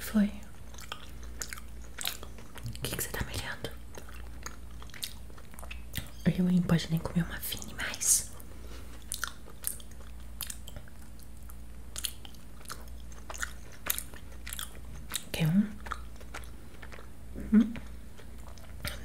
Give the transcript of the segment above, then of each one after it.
foi? O que, você tá me olhando? Eu, hein, pode nem comer uma fine mais. Quer um? Hum?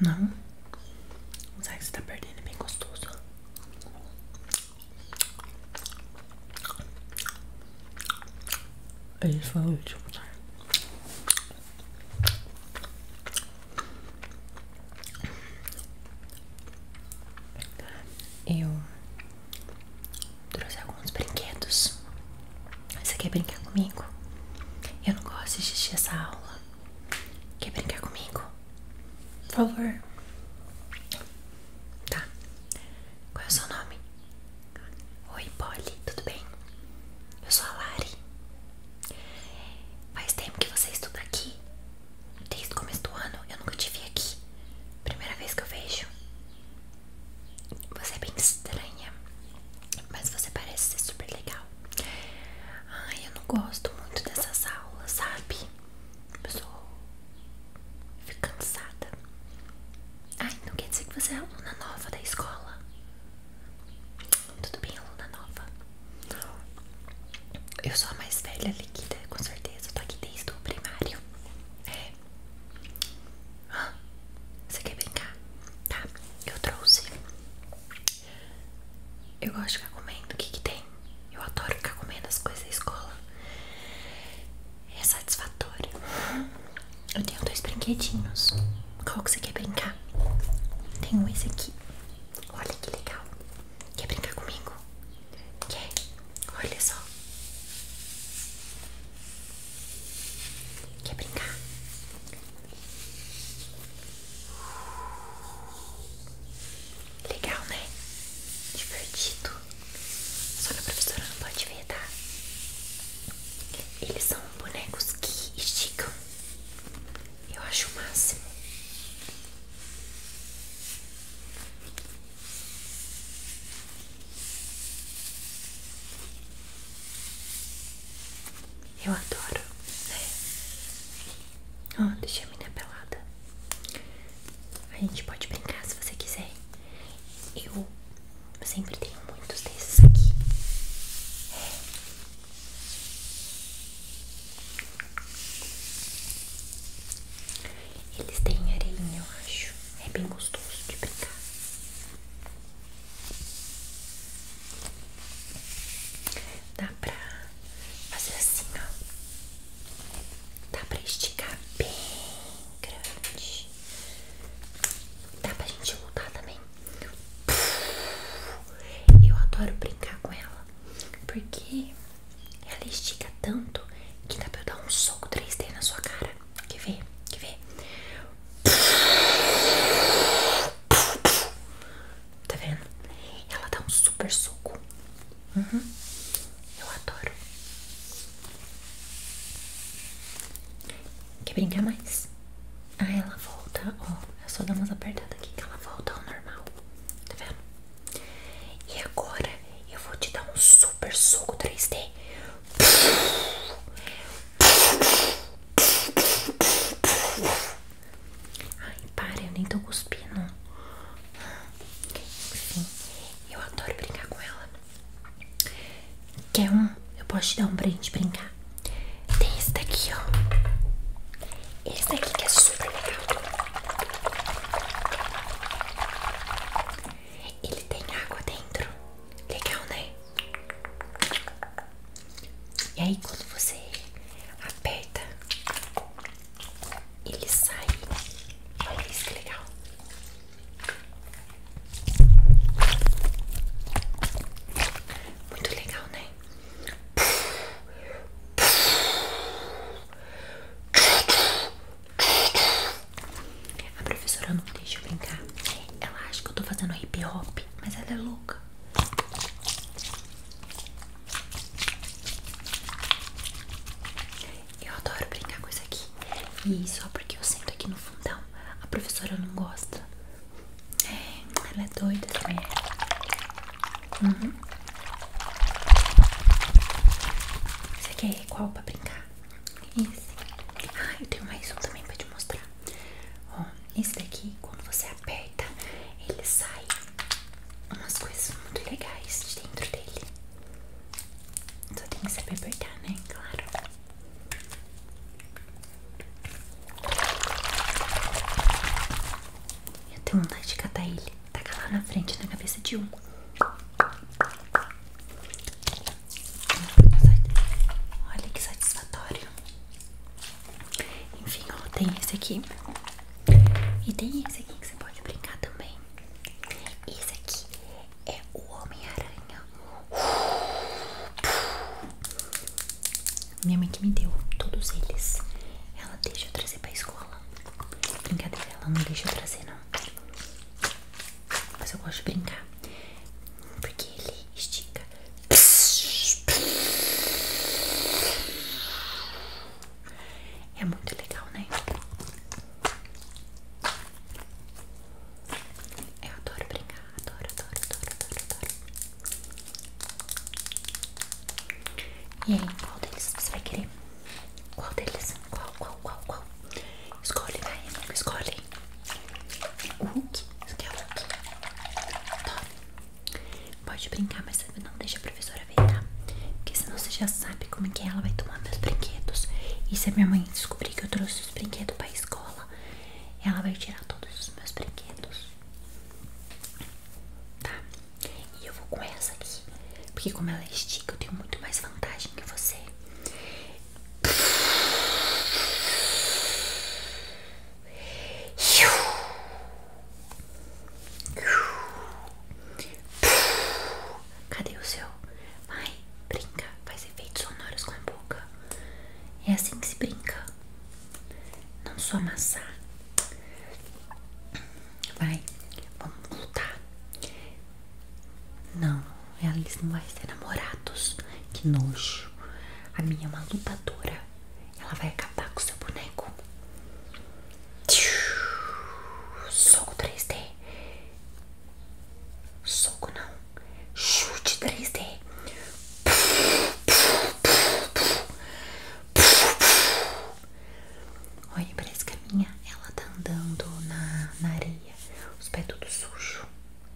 Não. O saco que você tá perdendo é bem gostoso. Ele foi o último, tá? Eu trouxe alguns brinquedos. Você quer brincar comigo? Eu não gosto de assistir essa aula. Quer brincar comigo? Por favor. Tá. Qual é o seu nome? Oi, Polly, tudo bem? Eu sou a Lari. Faz tempo que você estuda aqui. Desde o começo do ano eu nunca te vi aqui. Primeira vez que eu vejo. Você é bem estranha, mas você parece ser super legal. Ai, eu não gosto muito dessas aulas, sabe? Eu sou. Fico cansada. Ai, não quer dizer que você é aluna nova da escola. Tudo bem, aluna nova. Eu sou a mais velha líquida, com certeza. Eu tô aqui desde o primário. É. você quer brincar? Tá, eu trouxe eu gosto de ficar comendo. O que, que tem? Eu adoro ficar comendo as coisas da escola. É satisfatório. Eu tenho dois brinquedinhos. Qual que você quer brincar? Tem um esse aqui. Olha que legal. Quer brincar comigo? Quer? Olha só. Quer brincar? Legal, né? Divertido. Só que a professora não pode ver, tá? Eles são bonecos que esticam. Eu acho o máximo. Eu adoro, né? Ó, oh, deixei a menina pelada. A gente pode brincar se você quiser. Eu sempre tenho muitos desses aqui. Eles têm areia, eu acho. É bem gostoso de brincar. Dá pra fazer assim, ó. Dá pra esticar bem grande. Dá pra gente voltar também. Eu adoro brincar com ela. Porque ela estica tanto que dá pra eu dar um soco 3D na sua cara. Quer ver? Quer ver? Tá vendo? Ela dá um super suco. Uhum. Eu adoro. Quer brincar mais? Ah, ela volta. Ó, é só dar umas apertadas aqui que ela volta ao normal. Tá vendo? E agora eu vou te dar um super suco 3D. Ai, para, eu nem tô cuspindo. Enfim, eu adoro brincar com ela. Quer um? Eu posso te dar um pra gente brincar. Tem esse daqui, ó. Esse daqui que é super legal. Ele tem água dentro. Legal, né? E aí quando você aperta, ele sai. Olha isso que legal. Muito legal, né? A professora não deixa eu brincar. Ela acha que eu tô fazendo hip hop, mas ela é louca. Eu adoro brincar com isso aqui. E só porque eu sinto aqui no fundão, a professora não gosta. É, ela é doida assim. Uhum. Você quer qual pra brincar? Esse. Ah, eu tenho mais um também pra te mostrar. Ó, esse daqui, quando você aperta ele sai umas coisas muito legais de dentro dele. Só tem que saber apertar, né? Claro. Eu tenho vontade de catar ele. Taca lá na frente, na cabeça de um. Olha que satisfatório. Enfim, ó, tem esse aqui. E tem esse aqui que você pode brincar também. Esse aqui é o Homem-Aranha. Minha mãe que me deu todos eles. Ela deixa eu trazer pra escola. Brincadeira, ela não deixa eu trazer, não. Mas eu gosto de brincar. Porque ele estica. É muito legal, né? Eu adoro brincar, adoro, adoro, adoro, adoro, adoro. E aí, qual deles você vai querer? Qual deles? Qual, qual, qual, qual? Escolhe, vai, escolhe. O Hulk, você quer o Hulk? Tome. Pode brincar, mas não deixe a professora ver, tá? Porque senão você já sabe como é que ela vai tomar meus brinquedos. E se a minha mãe descobrir que eu trouxe os brinquedos pra escola, ela vai tirar todos os meus brinquedos. Tá? E eu vou com essa aqui. Porque como ela é estica, eu tenho muito mais vantagem que você. Cadê o seu? Vai, brinca, faz efeitos sonoros com a boca. É assim que se brinca. Não sou amassar. Vai, vamos lutar. Não, eles não vai ser namorados. Que nojo. A minha é uma lutadora. Ela vai acabar com o seu boneco. Soco 3D. Soco não. Chute 3D. Olha, parece que minha ela tá andando na, na areia. Os pés tudo sujo.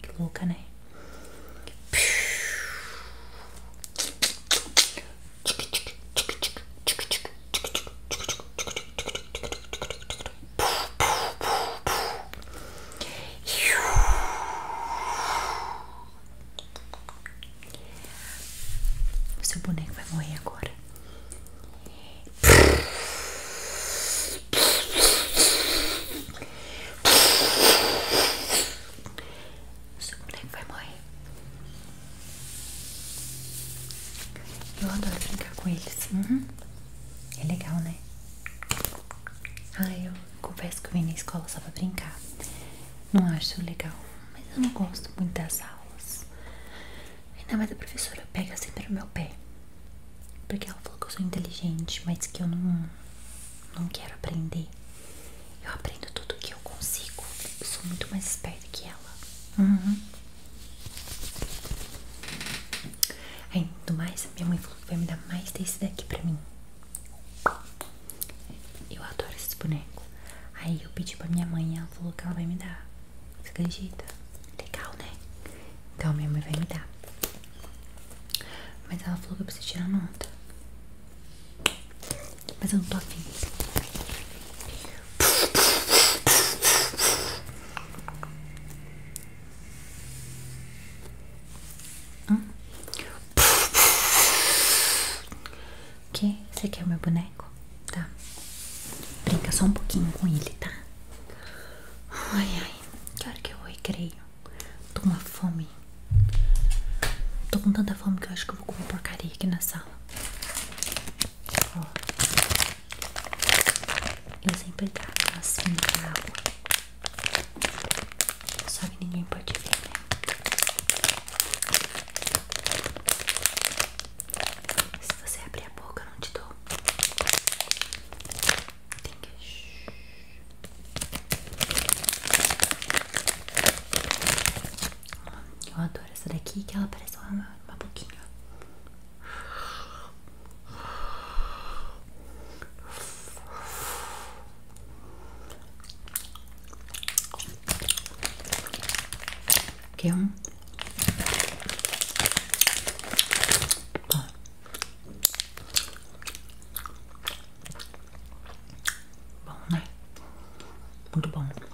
Que louca, né? O seu boneco vai morrer agora. O seu boneco vai morrer. Eu adoro brincar com eles. Uhum. É legal, né? Ah, eu confesso que eu vim na escola só pra brincar. Não acho legal, mas eu não gosto muito das aulas. Ainda mais a professora pega sempre o meu pé. Porque ela falou que eu sou inteligente, mas que eu não, não quero aprender. Eu aprendo tudo que eu consigo. sou muito mais esperta que ela. Uhum. Ainda é, do mais, minha mãe falou que vai me dar mais desse daqui pra mim. Eu adoro esses bonecos. Aí eu pedi pra minha mãe ela falou que ela vai me dar. Você acredita? Legal, né? Então minha mãe vai me dar. Mas ela falou que eu preciso tirar nota. Mas eu não tô afim. Hum? Que? Você quer o meu boneco? Tá. Brinca só um pouquinho com ele, tá? Ai, ai. Que hora que eu recreio? Tô com uma fome. Tô com tanta fome que eu acho que eu vou comer porcaria aqui na sala. Ó. Eu sempre tava assim na água. Só que ninguém pode ver, né? Se você abrir a boca, não te dou. Tem que... Eu adoro agora essa daqui que ela parece uma, uma boquinha. Que é um. Bom, né? Muito bom.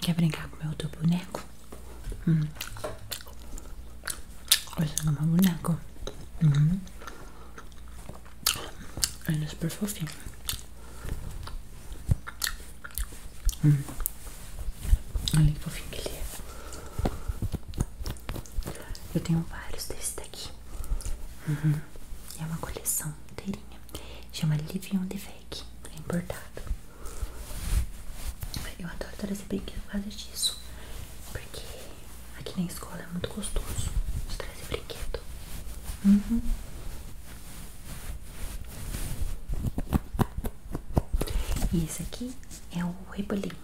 Quer brincar com meu outro boneco? Hum. Esse é o meu boneco. Uhum. Ele é super fofinho. Hum. Olha que fofinho que ele é. Eu tenho vários desses daqui. Uhum. É uma coleção inteirinha. Chama Live on the Fake. É importado. Eu adoro trazer brinquedo por causa disso. Porque aqui na escola é muito gostoso trazer brinquedo. Uhum. E esse aqui é o rebolinho.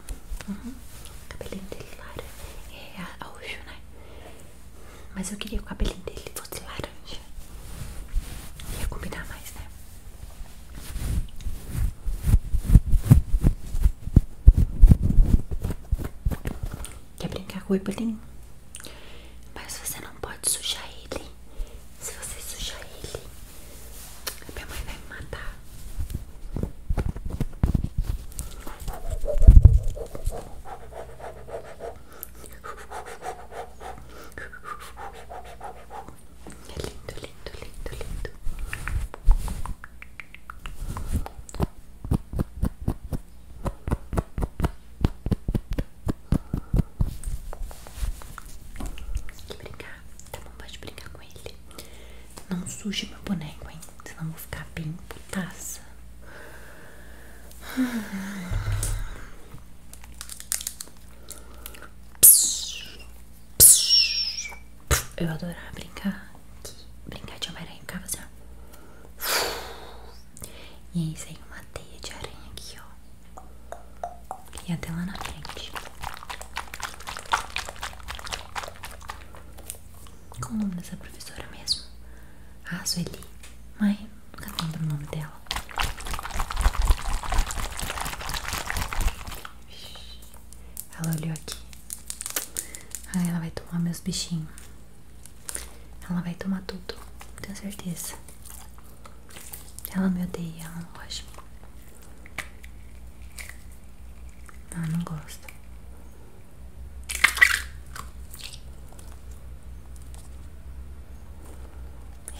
Uhum. O cabelinho dele laranja. É roxo, né? Mas eu queria que o cabelinho dele fosse laranja. Ia combinar mais, né? Quer brincar com o Ibolim? Mas você não pode sujar ele. Se você sujar ele, minha mãe vai me matar. É lindo, lindo, lindo, lindo. Tem que brincar, tá bom? Pode brincar com ele. Não suje meu boneco, hein? Senão eu vou ficar bem putaça. Eu adorava brincar Brincar de Homem-Aranha Ficava assim, ó E aí saiu uma teia de aranha aqui, ó E até lá na frente Qual o nome dessa professora mesmo? Ah, Sueli Mas nunca lembro o nome dela ela olhou aqui. Ai, ela vai tomar meus bichinhos. Ela vai tomar tudo, tenho certeza. Ela me odeia, ela não gosta. Ela não gosta.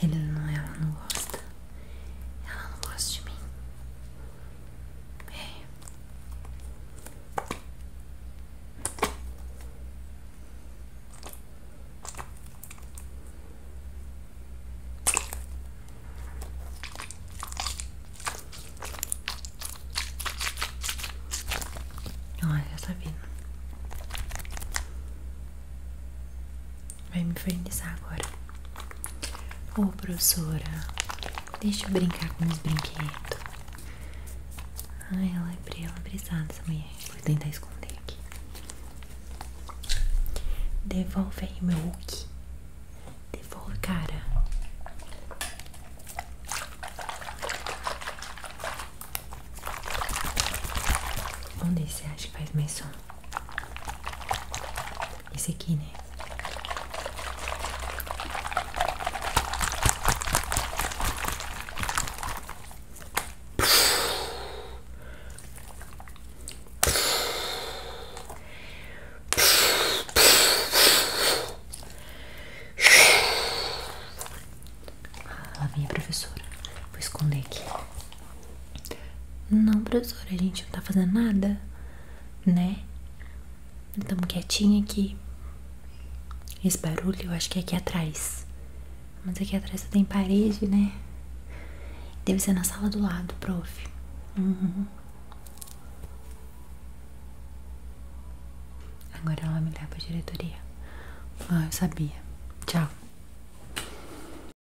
Ele não, ela não gosta. Ela não gosta de mim. É. Olha, tá Vai me infernizar agora. Ô, professora, deixa eu brincar com os brinquedos. Ai, ela é brela, brisada é essa mulher. Vou tentar esconder aqui. Devolve aí meu Hulk. Devolve, cara. Onde você acha que faz mais som? Esse aqui, né? Lá vem professora. Vou esconder aqui. Não, professora, a gente não tá fazendo nada, né? Estamos quietinha aqui. Esse barulho eu acho que é aqui atrás. Mas aqui atrás só tem parede, né? Deve ser na sala do lado, prof. Uhum. Agora ela me leva pra diretoria. Ah, eu sabia. Tchau.